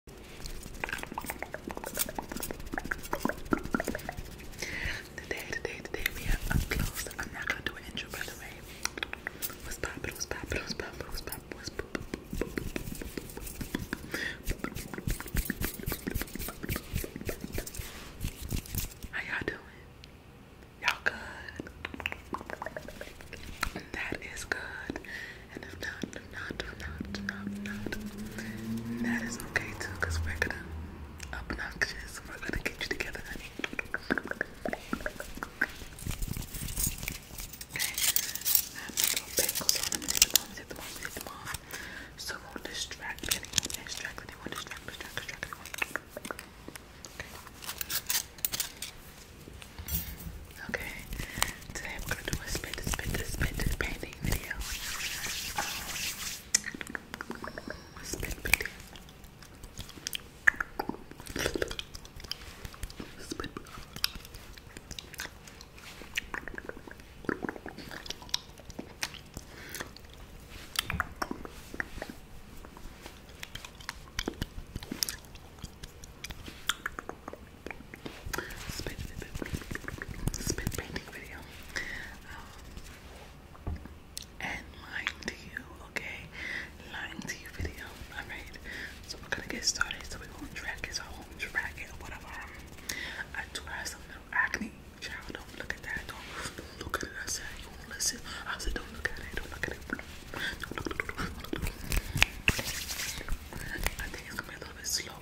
Today, today, today we are up close. I'm not gonna do intro by the way. How y'all doing? Y'all good? That is good. And if not, if not, if not, if not, if not, that is okay too, because we're gonna obnoxious. We're gonna get you together, honey. Okay. I'm gonna go pickles on. I'm gonna hit them off, hit them off, hit them off. So it won't distract anyone, distract anyone, distract, distract, distract anyone. Okay. Okay, today I'm gonna do a spit to spit to spit to painting video. Um, spit painting spit, spit painting video. Um, and lying to you, okay? Lying to you video. Alright. So we're gonna get started. So we won't to drag it, so I won't drag it whatever. I do have some little acne. Child, don't look at that. do don't look at it. I said you won't listen. I said don't look at it. Don't look at it. do don't look, don't don't look. I think it's gonna be a little bit slow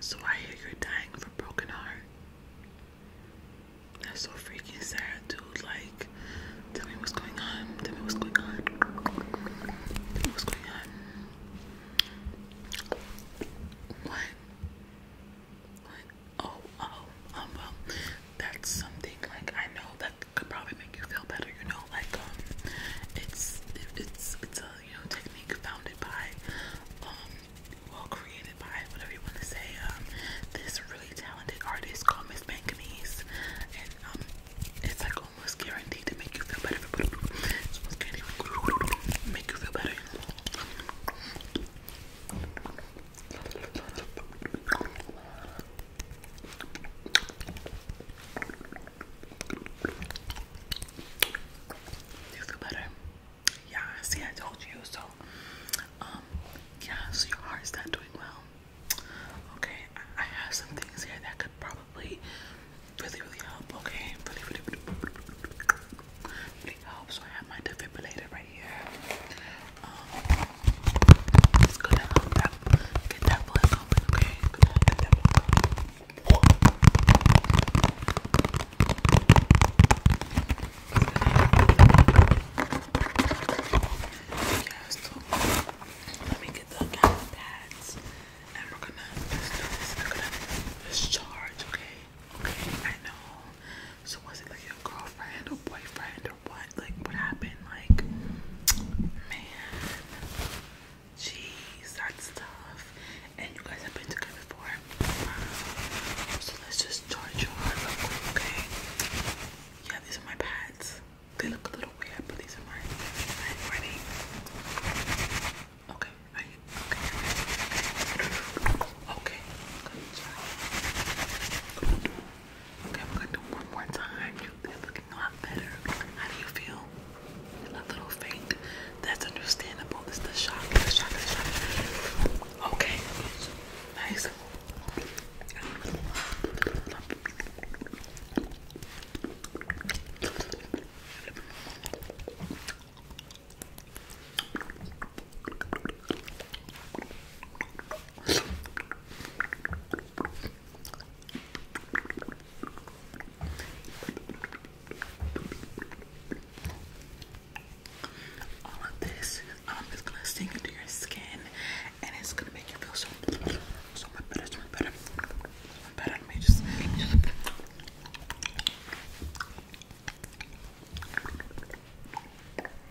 So I hear you're dying from broken heart. That's so freaking sad, dude. Like, tell me what's going on. Tell me what's going on. What? What? Oh, oh, um, well, that's something like I know that could probably make you feel better. You know, like um, it's it's it's a you know technique founded by um, well created by whatever you want to say um, this really talented artist called Miss Manganese, and um, it's like almost guaranteed to make you feel better. almost guaranteed to make you feel better. You feel better? Yeah, see, I told you. So, um, yeah, so your heart's not doing well. Okay, I, have some things here that could probably really, really help. Okay, really, really, really, really help. So I have my defibrillator right here. Um, it's gonna that get that blood open, okay? It's get that blood open. Yeah, let me get the pads and We're gonna discharge, okay? Okay, I know. So was it like your girlfriend or boyfriend or what? Like, what happened? Like, man, jeez, that's tough. And you guys have been together before. Um, so let's just charge your heart okay? Yeah, these are my pads. They look a little weird, but these are mine. ready? Okay. okay. okay. Okay, we're gonna do one more time. You're a lot better. How do you feel? A little faint. That's understandable. It's the shock. The shock. The shock. Okay. Nice. All of this, um, i gonna sink into your skin and it's gonna make you feel so, so much better, so much better, so much better. Let me just.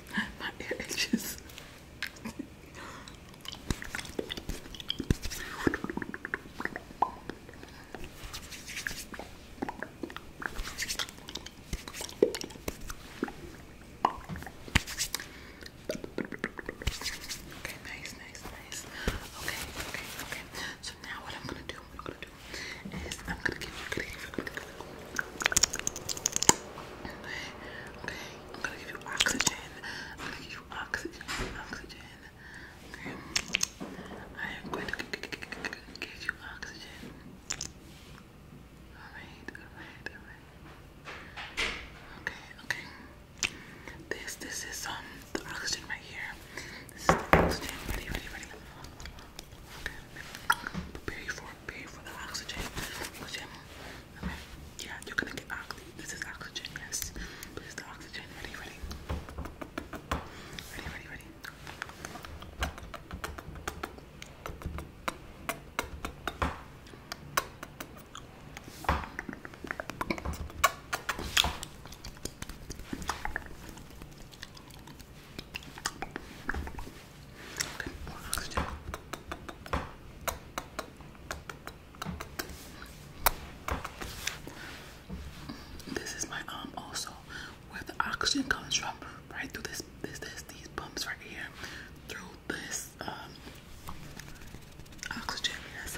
Okay, nice, nice, nice. Okay, okay, okay. So now what I'm gonna do, I'm gonna give you oxygen, I'm gonna give you oxygen, oxygen, I am going to give you oxygen, alright, alright, alright, okay, okay, this, this is, um, the oxygen right here, this is the oxygen, ready, ready, ready, Pay for pay for the oxygen. Yeah, you're gonna get oxygen. This is oxygen, yes. This the oxygen. Ready, ready. Ready, ready, ready. This is my arm um, also, where the oxygen comes from, right through this, this, this, these bumps right here, through this um, oxygen. Yes.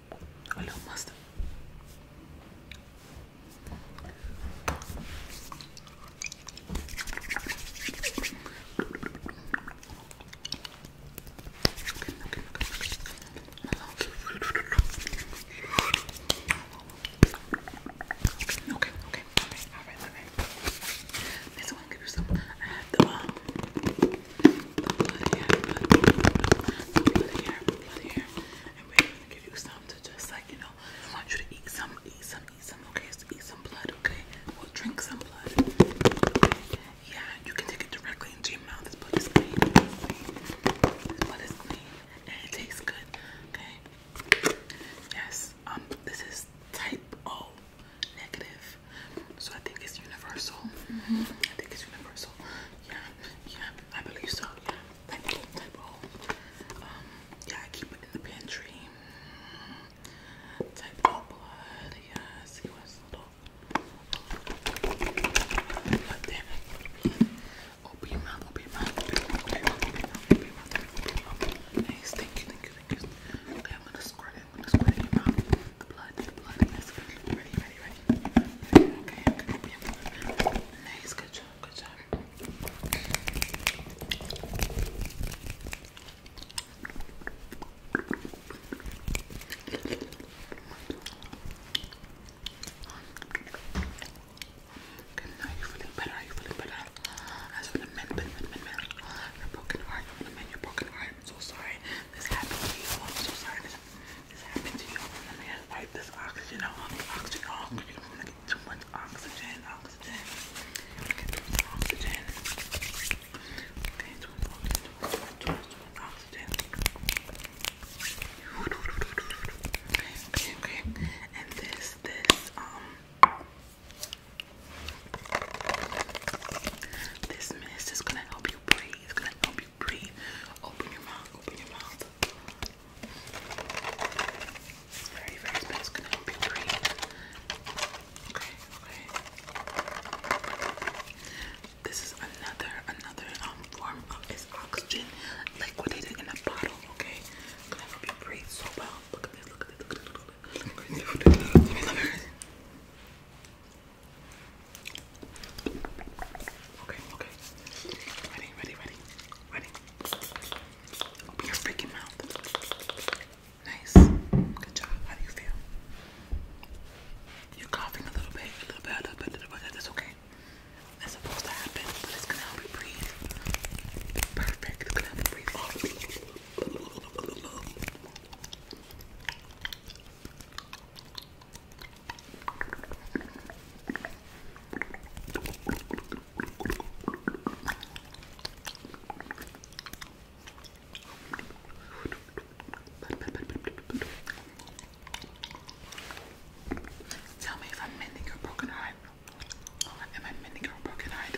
a little mustard. Okay, okay, okay, okay. Okay, okay, okay. Alright, alright, alright. This one give you some. I uh, have the um blood hair, blood, blood, And we're gonna give you some to just like, you know, I want you to eat some, eat some, eat some, okay? eat some blood, okay? Or drink some blood. Yeah, you can take it directly into your mouth. This blood is clean. blood is clean. And it tastes good, okay? Yes, um, this is type O negative. So I think it's universal. Mm-hmm. I think it's universal. Yeah, yeah, I believe so. Um, yeah, I keep it in the pantry. Type all blood. Yeah, see what's little. Open your mouth, open your mouth, open your you, thank you, thank you. Okay, I'm gonna squirt it, I'm gonna squirt in your mouth. The blood, the blood, yes. Ready, ready, ready, right. Okay, okay, yeah. Nice, good job, good job. Okay, now you're feeling better, are you feeling better? I just want to mend, mend, mend, mend, mend. Your broken heart, I want to mend your broken heart. I'm so sorry this happened to you. I'm so sorry this happened this happened to you. Let me just wipe this oxygen off. Oxygen off. You want to get too much oxygen. Oxygen. Get too much oxygen. too much oxygen. Too much, too too much oxygen. Okay, okay, And this, this, um, this mist is gonna help you breathe. gonna help you pretty, Open your mouth, open your mouth. It's very, very bad. It's gonna be pretty. Okay, okay. This is another, another um, form of oxygen liquidated in a bottle, okay? gonna help you breathe so well. Look at this, look at this, look at this, look at this. Look at this. Look at this. Look at this. Look at this. Okay, okay. Ready, ready, ready, ready. Open your freaking mouth. Nice. Good job. How do you feel? You're coughing a little bit, a little bit, a little bit, a little bit. That's okay. That's supposed to happen, but it's gonna help you breathe. Perfect. It's gonna help you breathe. Oh. Tell me if I'm mending your broken heart. Am I mending your broken heart?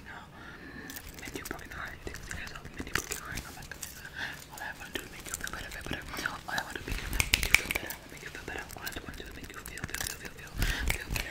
I'm not coming want to make you feel better, feel better. I want to make you feel better, make you feel better. I want to make you feel, feel, feel, feel, feel, better. better,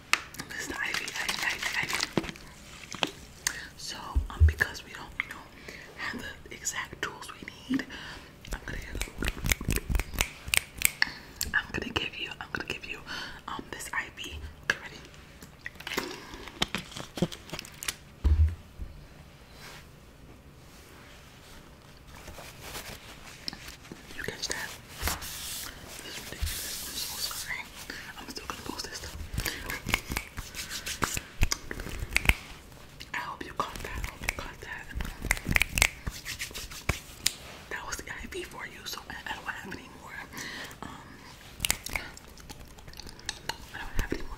This is the ivy, So, um, because we don't, have the exact tools we need, I'm gonna, give you, I'm gonna give you, um, this ivy. Okay, ready? You catch that? This ridiculous. I'm so sorry. I'm still gonna post this stuff. I hope you caught that. I hope you caught that. That was the IV for you, so um, I, don't have any more. I don't have any more.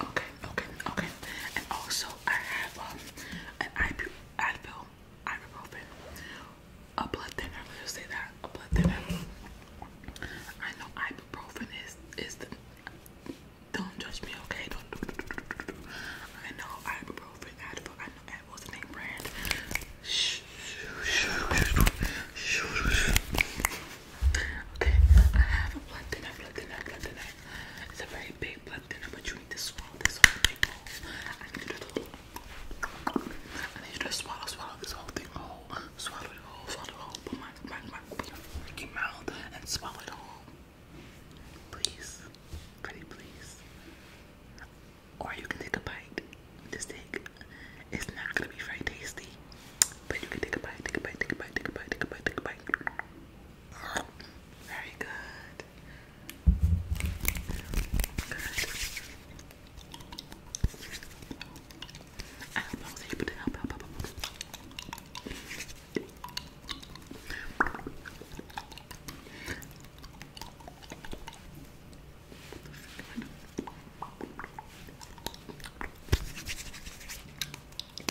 Okay, okay, okay. And also, I have um, an Advil, Advil, ibuprofen, a blood thinner. I us say that a blood thinner. I know ibuprofen is is the. Don't judge me, okay? Don't. I know ibuprofen, Advil. I know Advil's the name brand. Okay, I have a blood thinner, blood thinner, blood thinner. It's a very big blood thinner, but you need to swallow this whole thing whole. I need you to, I need to swallow, swallow this whole thing whole. Swallow it whole, swallow it whole. Put my, my, my, freaking mouth and swallow it whole. Please, pretty please. Or you can take a bite. Just take. It's not gonna be very tasty, but you can take a bite, take a bite, take a bite, take a bite, take a bite, take a bite. Very good. Good. I hope I was able to help. help, help, Okay,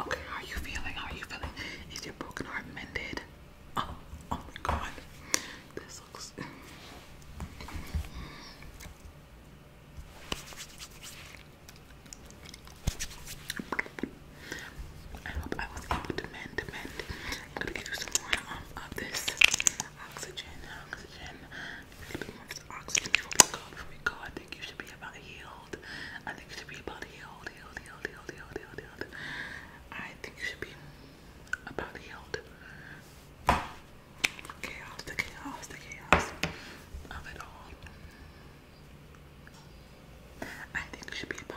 okay, how are you feeling? How are you feeling? Is your broken heart mended? Oh, oh my god. This looks I hope I was able to mend, mend. i gonna give you some more um, of this oxygen, oxygen, oxygen before we go, I think you should be about healed. I think you should be about healed, healed, healed, healed, healed, healed. I think you should be about healed chaos, the chaos, the chaos of it all. I think it should be about.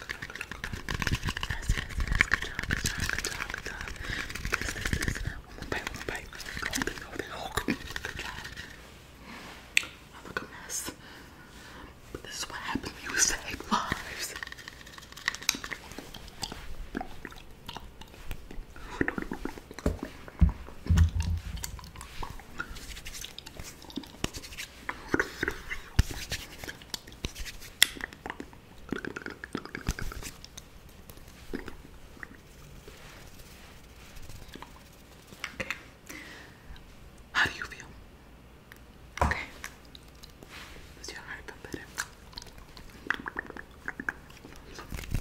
Yes, yes, yes. Good job, good job, good job, good job. This, this, this. One more bite, one more bite. Hold it, hold it, hold it. Good job. I look a mess. But this is what happens when you save lives. Okay. How do you feel? Okay. Does your heart feel better?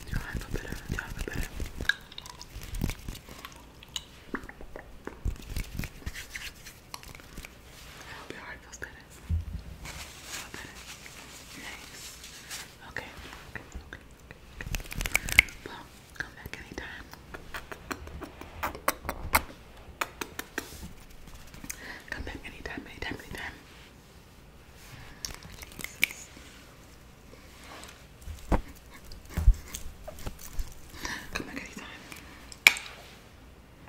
Your heart feel better. Your heart feel better. I hope your heart feels better. Feel better. Nice. Okay. Well, come back anytime. Come back anytime, anytime, anytime. Come back anytime.